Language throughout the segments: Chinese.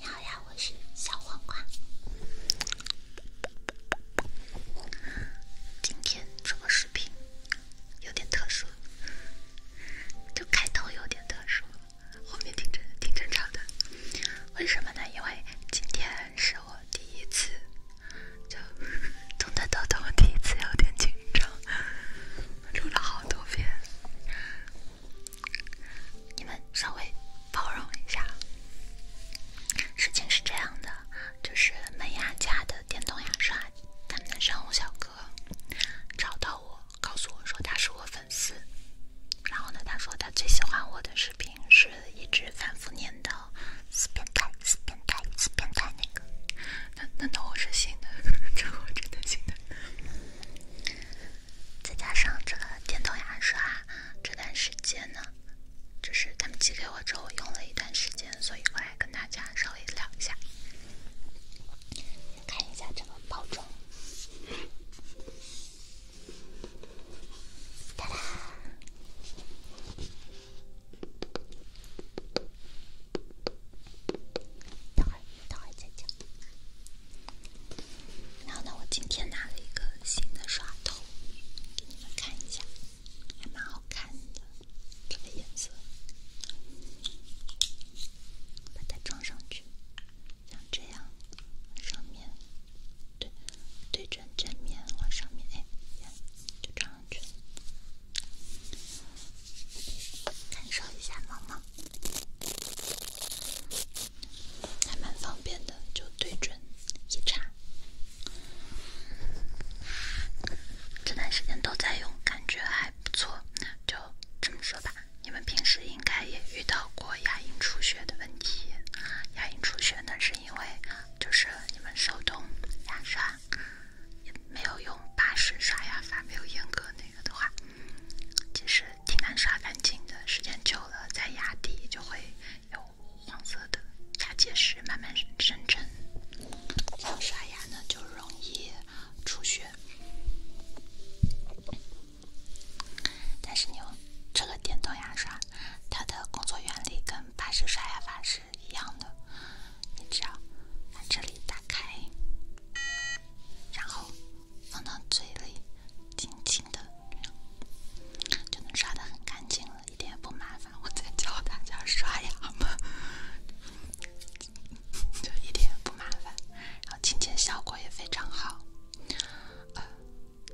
你好呀，我是小黄瓜。今天这个视频有点特殊，就开头有点特殊，后面挺正挺正常的。为什么呢？因为今天是我第一次就动的抖抖，第一次有点紧张，录了好多遍。你们稍微包容一下。事情是这样的，就是美雅家的电动牙刷，他们的售后小哥找到我，告诉我说他是我粉丝。然后呢，他说他最喜欢我的视频是一直反复念叨“死变态，死变态，死变态”那个。难难道我是新的？这我是真的新的。再加上这个电动牙刷，这段时间呢，就是他们寄给我之后用了一段时间，所以过来跟大家稍微聊一下，看一下这个包装。哒哒。等会儿再讲。然后呢，我今天拿了一个新的刷头，给你们看一下，还蛮好看的，这个颜色。把它装上去，像这样，往上面，对，对准正面往上面，哎，就装上去。了。感受一下，毛毛。还蛮方便的，就对准一擦。这段时间都在用，感觉还不错。就这么说吧，你们平时应该也遇到过牙龈出血的问题。牙龈出血呢，是因为就是你们手动牙刷，没有用巴氏刷牙法，没有严格那个的话。其实挺难刷干净的，时间久了，在牙底就会有黄色的牙结石慢慢生成，然后刷牙呢就容易出血。但是你用这个电动牙刷，它的工作原理跟巴氏刷牙法是一样的，你只要把这里打开，然后。放到嘴里，轻轻的就能刷得很干净了，一点也不麻烦。我再教大家刷牙嘛，就一点也不麻烦，然后清洁效果也非常好。呃，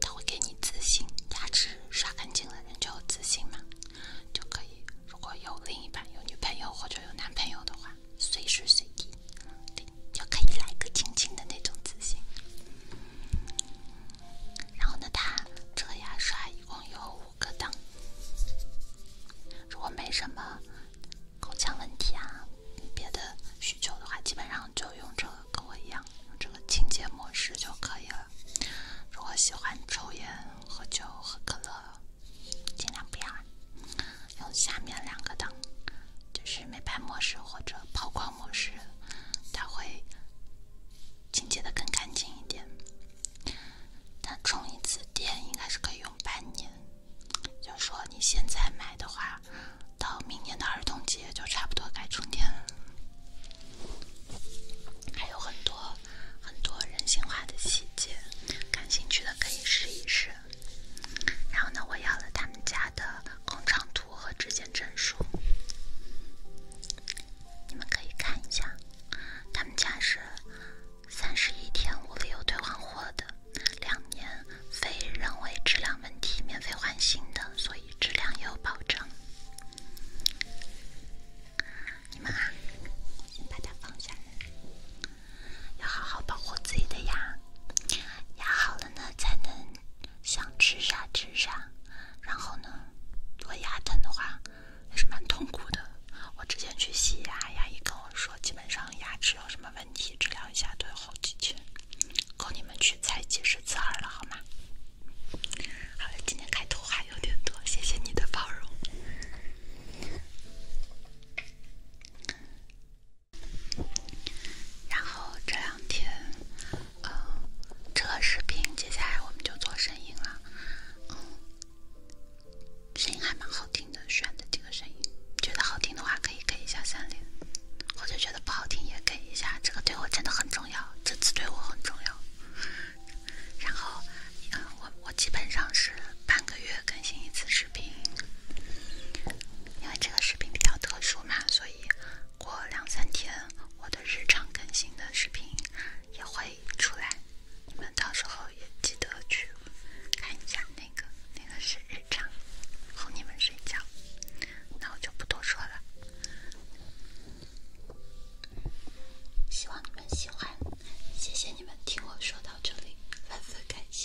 它会给你自信，牙齿刷干净了，人就有自信嘛，就可以。如果有另一半、有女朋友或者有男朋友的话。随时随地，对，就可以来个轻轻的那种自信。然后呢，它这个牙刷一共有五个档。如果没什么口腔问题啊，别的需求的话，基本上就用这个跟我一样，用这个清洁模式就可以了。如果喜欢抽烟、喝酒、喝可乐。尽量不要用下面两个档，就是美白模式或者抛光模式，它会清洁的更干净一点。它充一次电应该是可以用半年，就说你现在买的话，到明年的儿童节就差不多该充电。了。还有很多很多人性化的细节，感兴趣的可以试一试。然后呢，我要了他们家的工厂图和质检证书，你们可以看一下。他们家是三十一天无理由退换货的，两年非人为质量问题免费换新的，所以质量有保证。你们啊，先把它放下。要好好保护自己的牙，牙好了呢，才能想吃啥吃啥。然后呢，如果牙疼的话，也是蛮痛苦的。我之前去洗牙，牙医跟我说，基本上牙齿有什么问题，治疗一下都有好几决。够你们去猜几十次二了，好吗？好了，今天开头还有点多，谢谢你的包容。然后这两天，嗯，这个视频接下来我们就做声音了，嗯，声音还蛮好听的，选的这个声音，觉得好听的话可以给一下三连，或者觉得不好听也给一下，这个对我真的很重要，这次对我很重要。然后，嗯，我我基本上是。半个月更新一次视频，因为这个视频比较特殊嘛，所以过两三天我的日常更新的视频也会出来，你们到时候也记得去看一下那个那个是日常哄你们睡觉。那我就不多说了，希望你们喜欢，谢谢你们听我说到这里，万分感谢。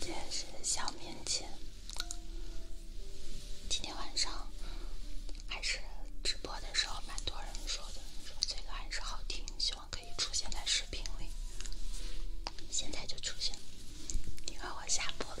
这是小棉签。今天晚上。还是直播的时候，蛮多人说的，说这个还是好听，希望可以出现在视频里。现在就出现，因为我下播了。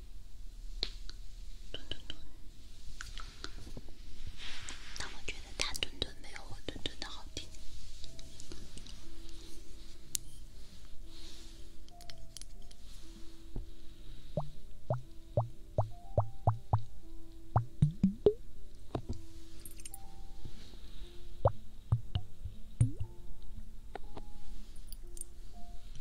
墩墩墩，但我觉得他墩墩没有我墩墩的好听。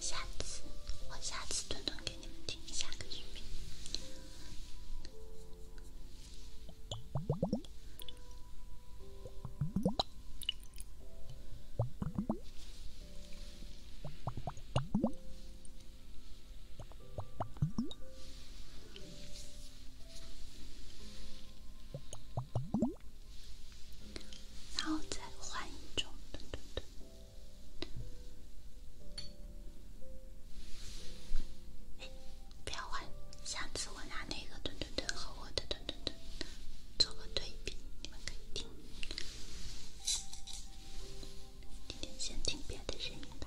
下次，我下次。顿顿给你们听，下然后再换一种，不要玩，下次我拿那个“顿顿顿”和我的“顿顿顿”做个对比，你们可以听。今天先听别的音乐吧。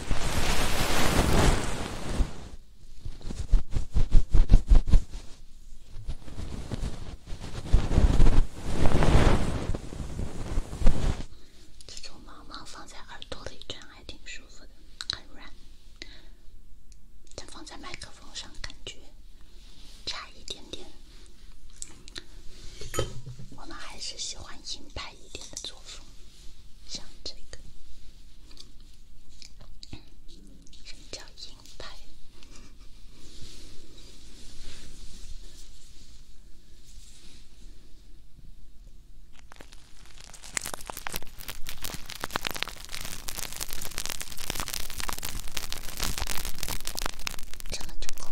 这种毛毛放在耳朵里，这样还挺舒服的，很软。但放在麦克风上，感觉差一点点。我们还是喜欢硬派一点的。像这个，什么叫银牌？看了就过。